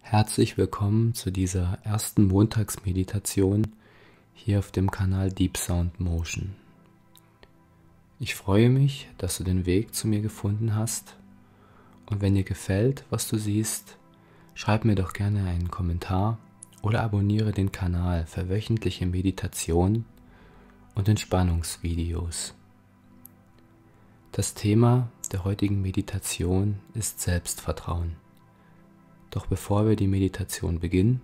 Herzlich willkommen zu dieser ersten Montagsmeditation hier auf dem Kanal Deep Sound Motion. Ich freue mich, dass du den Weg zu mir gefunden hast und wenn dir gefällt, was du siehst, schreib mir doch gerne einen Kommentar oder abonniere den Kanal für wöchentliche Meditationen und Entspannungsvideos. Das Thema der heutigen Meditation ist Selbstvertrauen. Doch bevor wir die Meditation beginnen,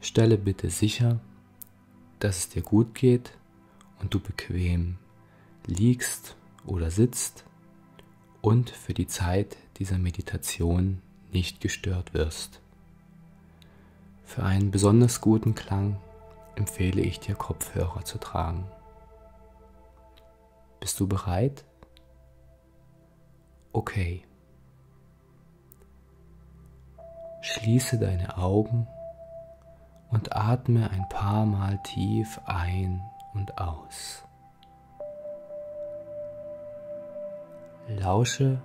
stelle bitte sicher, dass es dir gut geht und du bequem liegst oder sitzt und für die Zeit dieser Meditation nicht gestört wirst. Für einen besonders guten Klang empfehle ich dir Kopfhörer zu tragen. Bist du bereit? Okay. Schließe deine Augen und atme ein paar Mal tief ein und aus. Lausche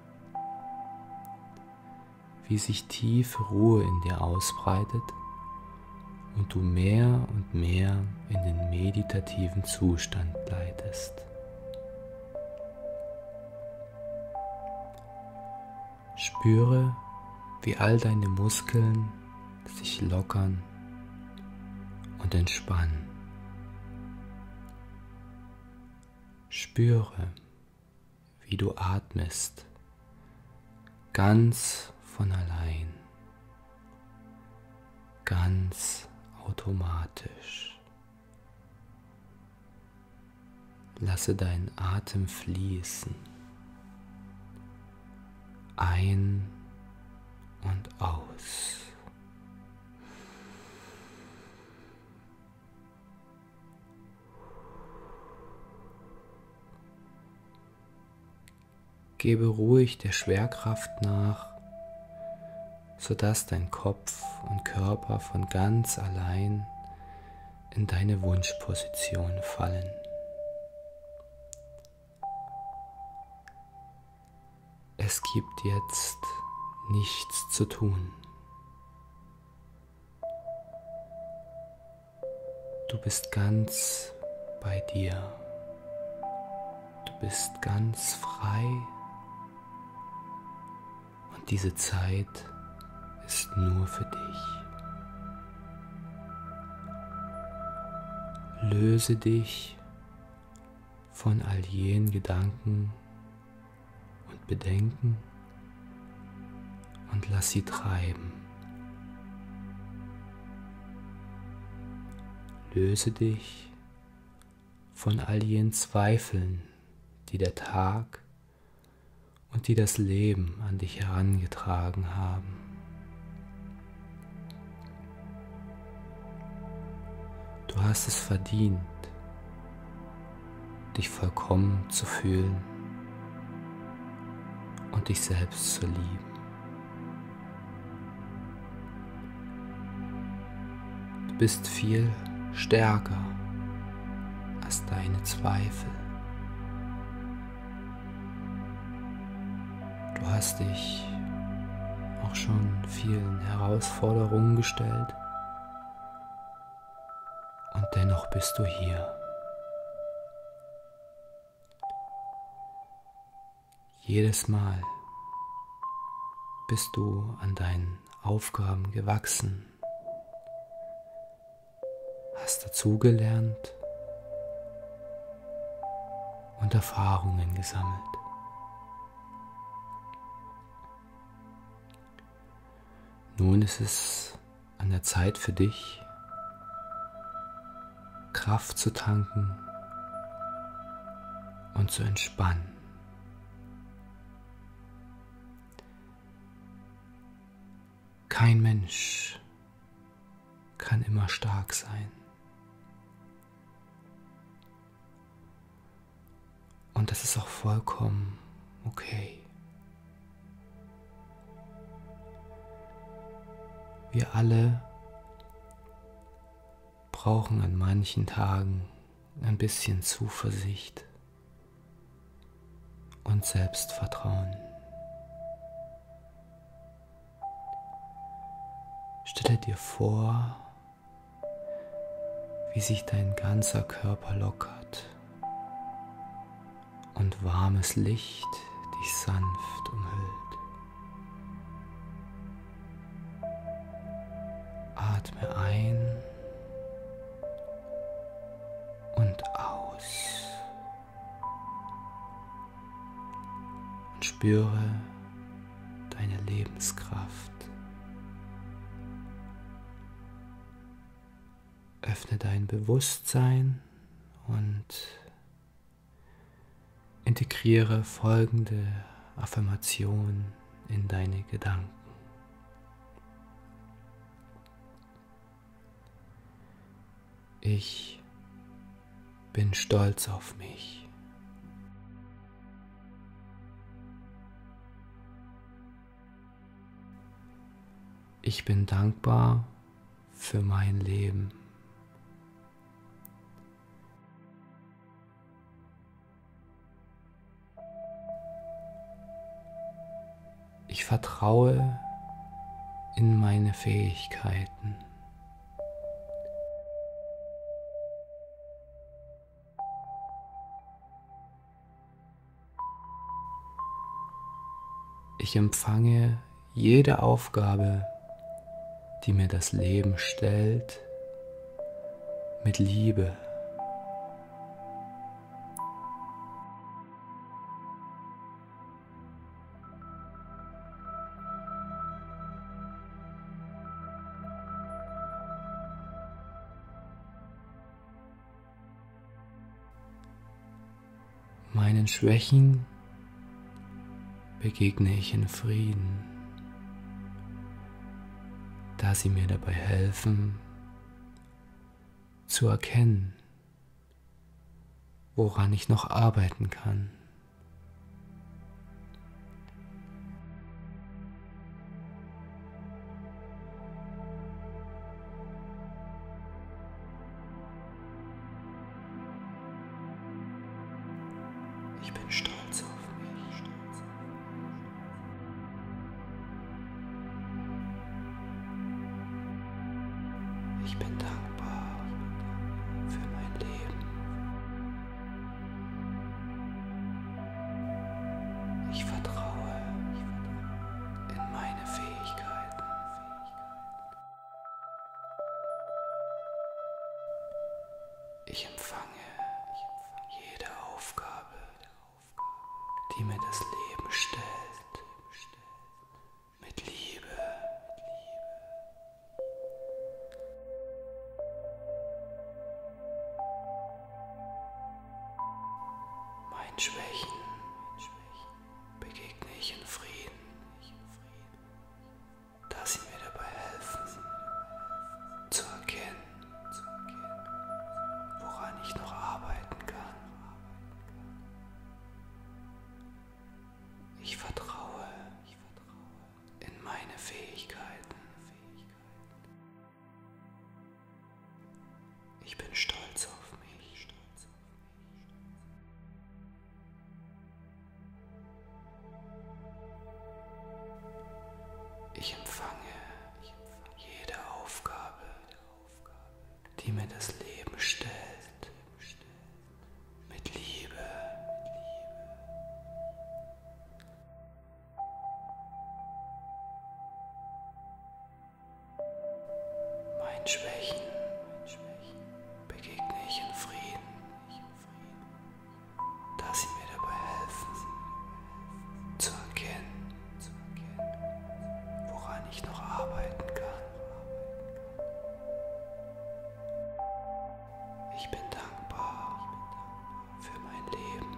wie sich tiefe Ruhe in dir ausbreitet und du mehr und mehr in den meditativen Zustand gleitest. Spüre, wie all deine Muskeln sich lockern und entspannen. Spüre, wie du atmest, ganz von allein, ganz automatisch. Lasse deinen Atem fließen, ein und aus. Gebe ruhig der Schwerkraft nach, sodass dein Kopf und Körper von ganz allein in deine Wunschposition fallen. Es gibt jetzt nichts zu tun. Du bist ganz bei dir. Du bist ganz frei. Und diese Zeit ist nur für dich. Löse dich von all jenen Gedanken und Bedenken und lass sie treiben. Löse dich von all jenen Zweifeln, die der Tag und die das Leben an dich herangetragen haben. Du hast es verdient, dich vollkommen zu fühlen und dich selbst zu lieben. Du bist viel stärker als deine Zweifel. Du hast dich auch schon vielen Herausforderungen gestellt und dennoch bist du hier jedes Mal bist du an deinen Aufgaben gewachsen, hast dazugelernt und Erfahrungen gesammelt. Nun ist es an der Zeit für dich, Kraft zu tanken und zu entspannen. Kein Mensch kann immer stark sein. Und das ist auch vollkommen okay. Wir alle brauchen an manchen Tagen ein bisschen Zuversicht und Selbstvertrauen. Stelle dir vor, wie sich dein ganzer Körper lockert und warmes Licht dich sanft umhüllt. Atme ein und aus und spüre deine Lebenskraft öffne dein Bewusstsein und integriere folgende Affirmation in deine Gedanken. Ich bin stolz auf mich. Ich bin dankbar für mein Leben. Ich vertraue in meine Fähigkeiten. Ich empfange jede Aufgabe, die mir das Leben stellt, mit Liebe. Meinen Schwächen begegne ich in Frieden, da sie mir dabei helfen, zu erkennen, woran ich noch arbeiten kann. Ich bin stolz auf mich. Ich bin dankbar für mein Leben. Ich vertraue in meine Fähigkeiten. Ich empfange jede Aufgabe, die mir das Leben stellt, mit Liebe. Meinen Schwächen begegne ich in Frieden, da sie mir dabei helfen, zu erkennen, woran ich noch arbeiten kann. Ich vertraue in meine Fähigkeiten. Ich bin stolz auf mich. Ich empfange jede Aufgabe, die mir das Leben stellt, mit Liebe. Meinen Schwächen begegne ich in Frieden, da sie mir dabei helfen, zu erkennen, woran ich noch arbeiten kann. Ich bin dankbar für mein Leben.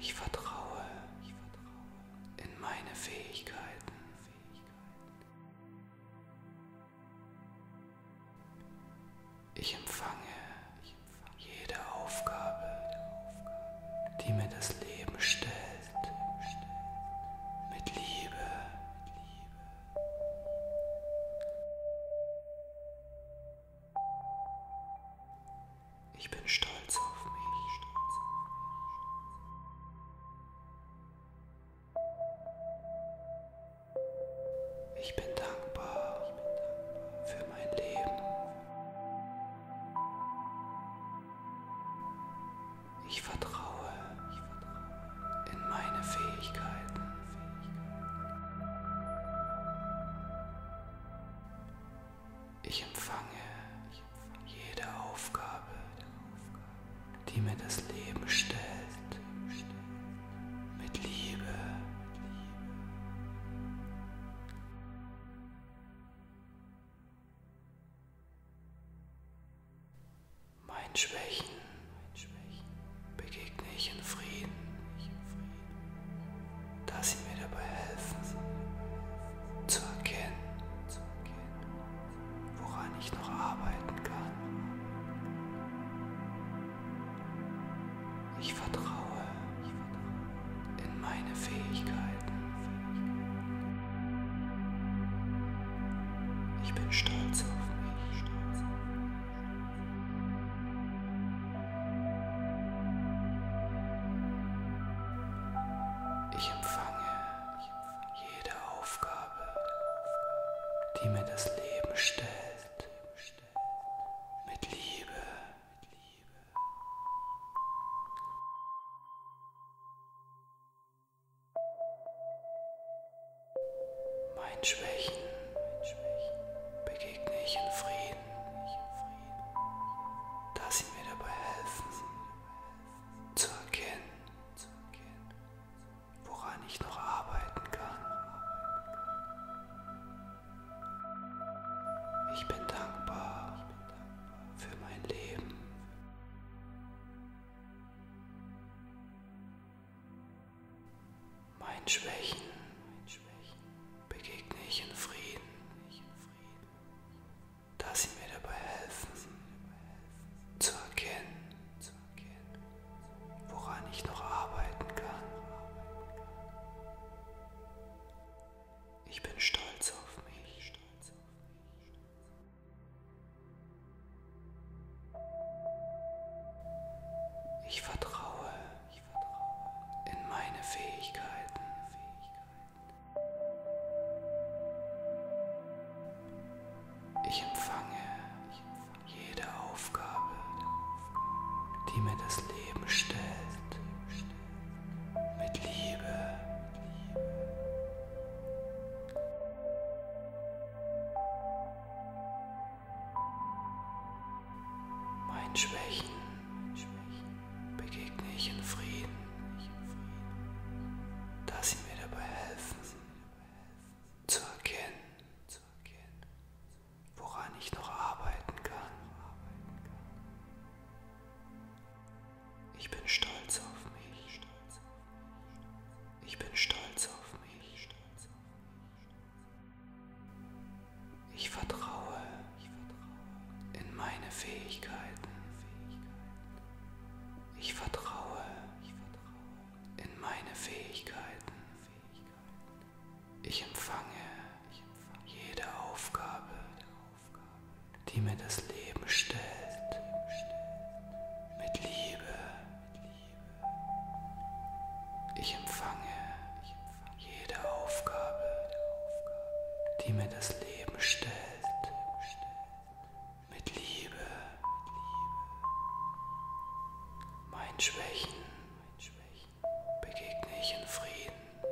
Ich vertraue in meine Fähigkeiten. Ich empfange jede Aufgabe, die mir das Leben stellt, mit Liebe. Ich bin stolz auf mich. Ich bin dankbar für mein Leben. Ich vertraue in meine Fähigkeiten. Ich empfange jede Aufgabe, die mir das Leben stellt, mit Liebe. Meinen Schwächen begegne ich in Frieden dass sie mir dabei helfen, zu erkennen, woran ich noch arbeiten kann. Ich vertraue in meine Fähigkeiten. Ich bin stolz auf mich. Ich empfange jede Aufgabe, die mir das Leben stellt, mit Liebe. Meinen Schwächen begegne ich in Frieden da sie mir dabei helfen, zu erkennen, woran ich noch arbeiten kann. Ich bin dankbar für mein Leben. Meinen Schwächen begegne ich in Frieden, da sie mir dabei helfen, zu erkennen, woran ich noch arbeiten kann. Ich bin stolz auf mich. Ich vertraue in meine Fähigkeiten. Ich empfange jede Aufgabe, die mir das Leben stellt, mit Liebe. Meinen Schwächen begegne ich in Frieden, dass sie mir dabei helfen, zu erkennen, woran ich noch arbeiten kann. Ich bin stolz auf mich. Ich bin stolz auf mich. Ich vertraue in meine Fähigkeiten. Ich vertraue in meine Fähigkeiten. Ich empfange jede Aufgabe, die mir das Leben stellt, mit Liebe. Ich empfange jede Aufgabe, die mir das Leben stellt, mit Liebe, meinen Schwächen begegne ich in Frieden,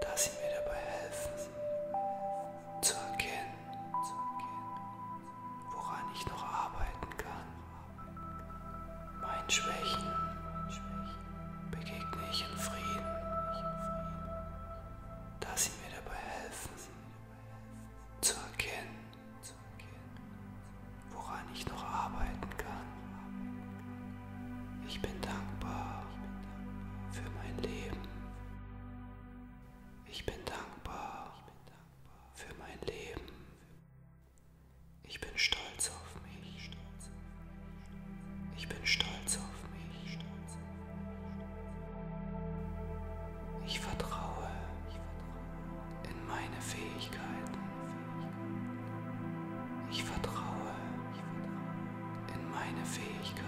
dass sie mir dabei helfen, zu erkennen, woran ich noch arbeiten kann. Meinen Schwächen begegne ich in Frieden, da sie mir dabei helfen, zu erkennen, woran ich noch arbeiten kann. Ich bin dankbar für mein Leben. Ich bin dankbar für mein Leben. Ich bin stolz auf mich. Ich bin stolz auf mich. Ich vertraue in meine Fähigkeiten. Ich vertraue in meine Fähigkeiten.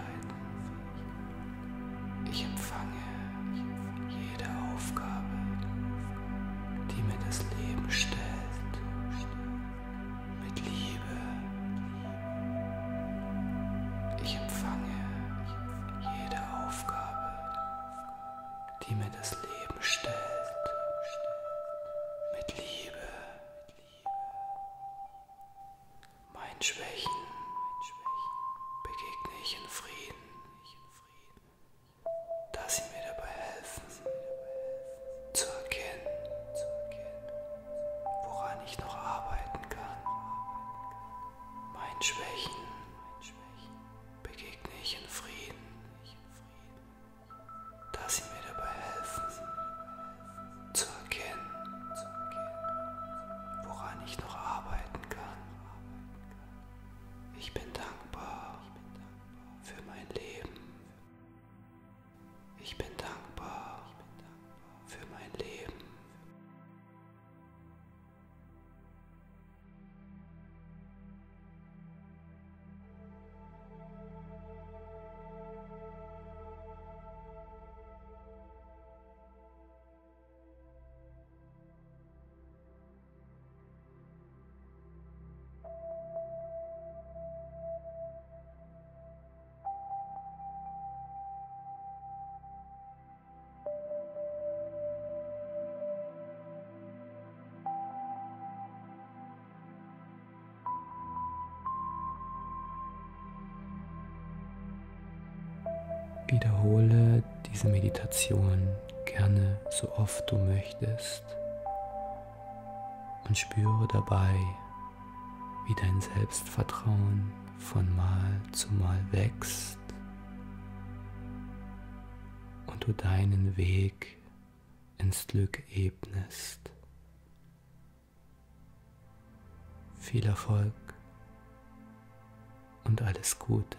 Ich empfange jede Aufgabe die mir das Leben stellt. Mit Liebe. Ich empfange jede Aufgabe, die mir das Leben stellt. Mit Liebe. Meinen Schwächen begegne ich in Frieden dass sie mir dabei helfen, zu erkennen, woran ich noch arbeiten kann. Meinen Schwächen begegne ich in Frieden, dass sie mir dabei helfen, zu erkennen, woran ich noch arbeiten kann. Ich bin dankbar für mein Leben. Ich bin dankbar für mein Leben. Wiederhole diese Meditation gerne so oft du möchtest und spüre dabei, wie dein Selbstvertrauen von Mal zu Mal wächst und du deinen Weg ins Glück ebnest. Viel Erfolg und alles Gute.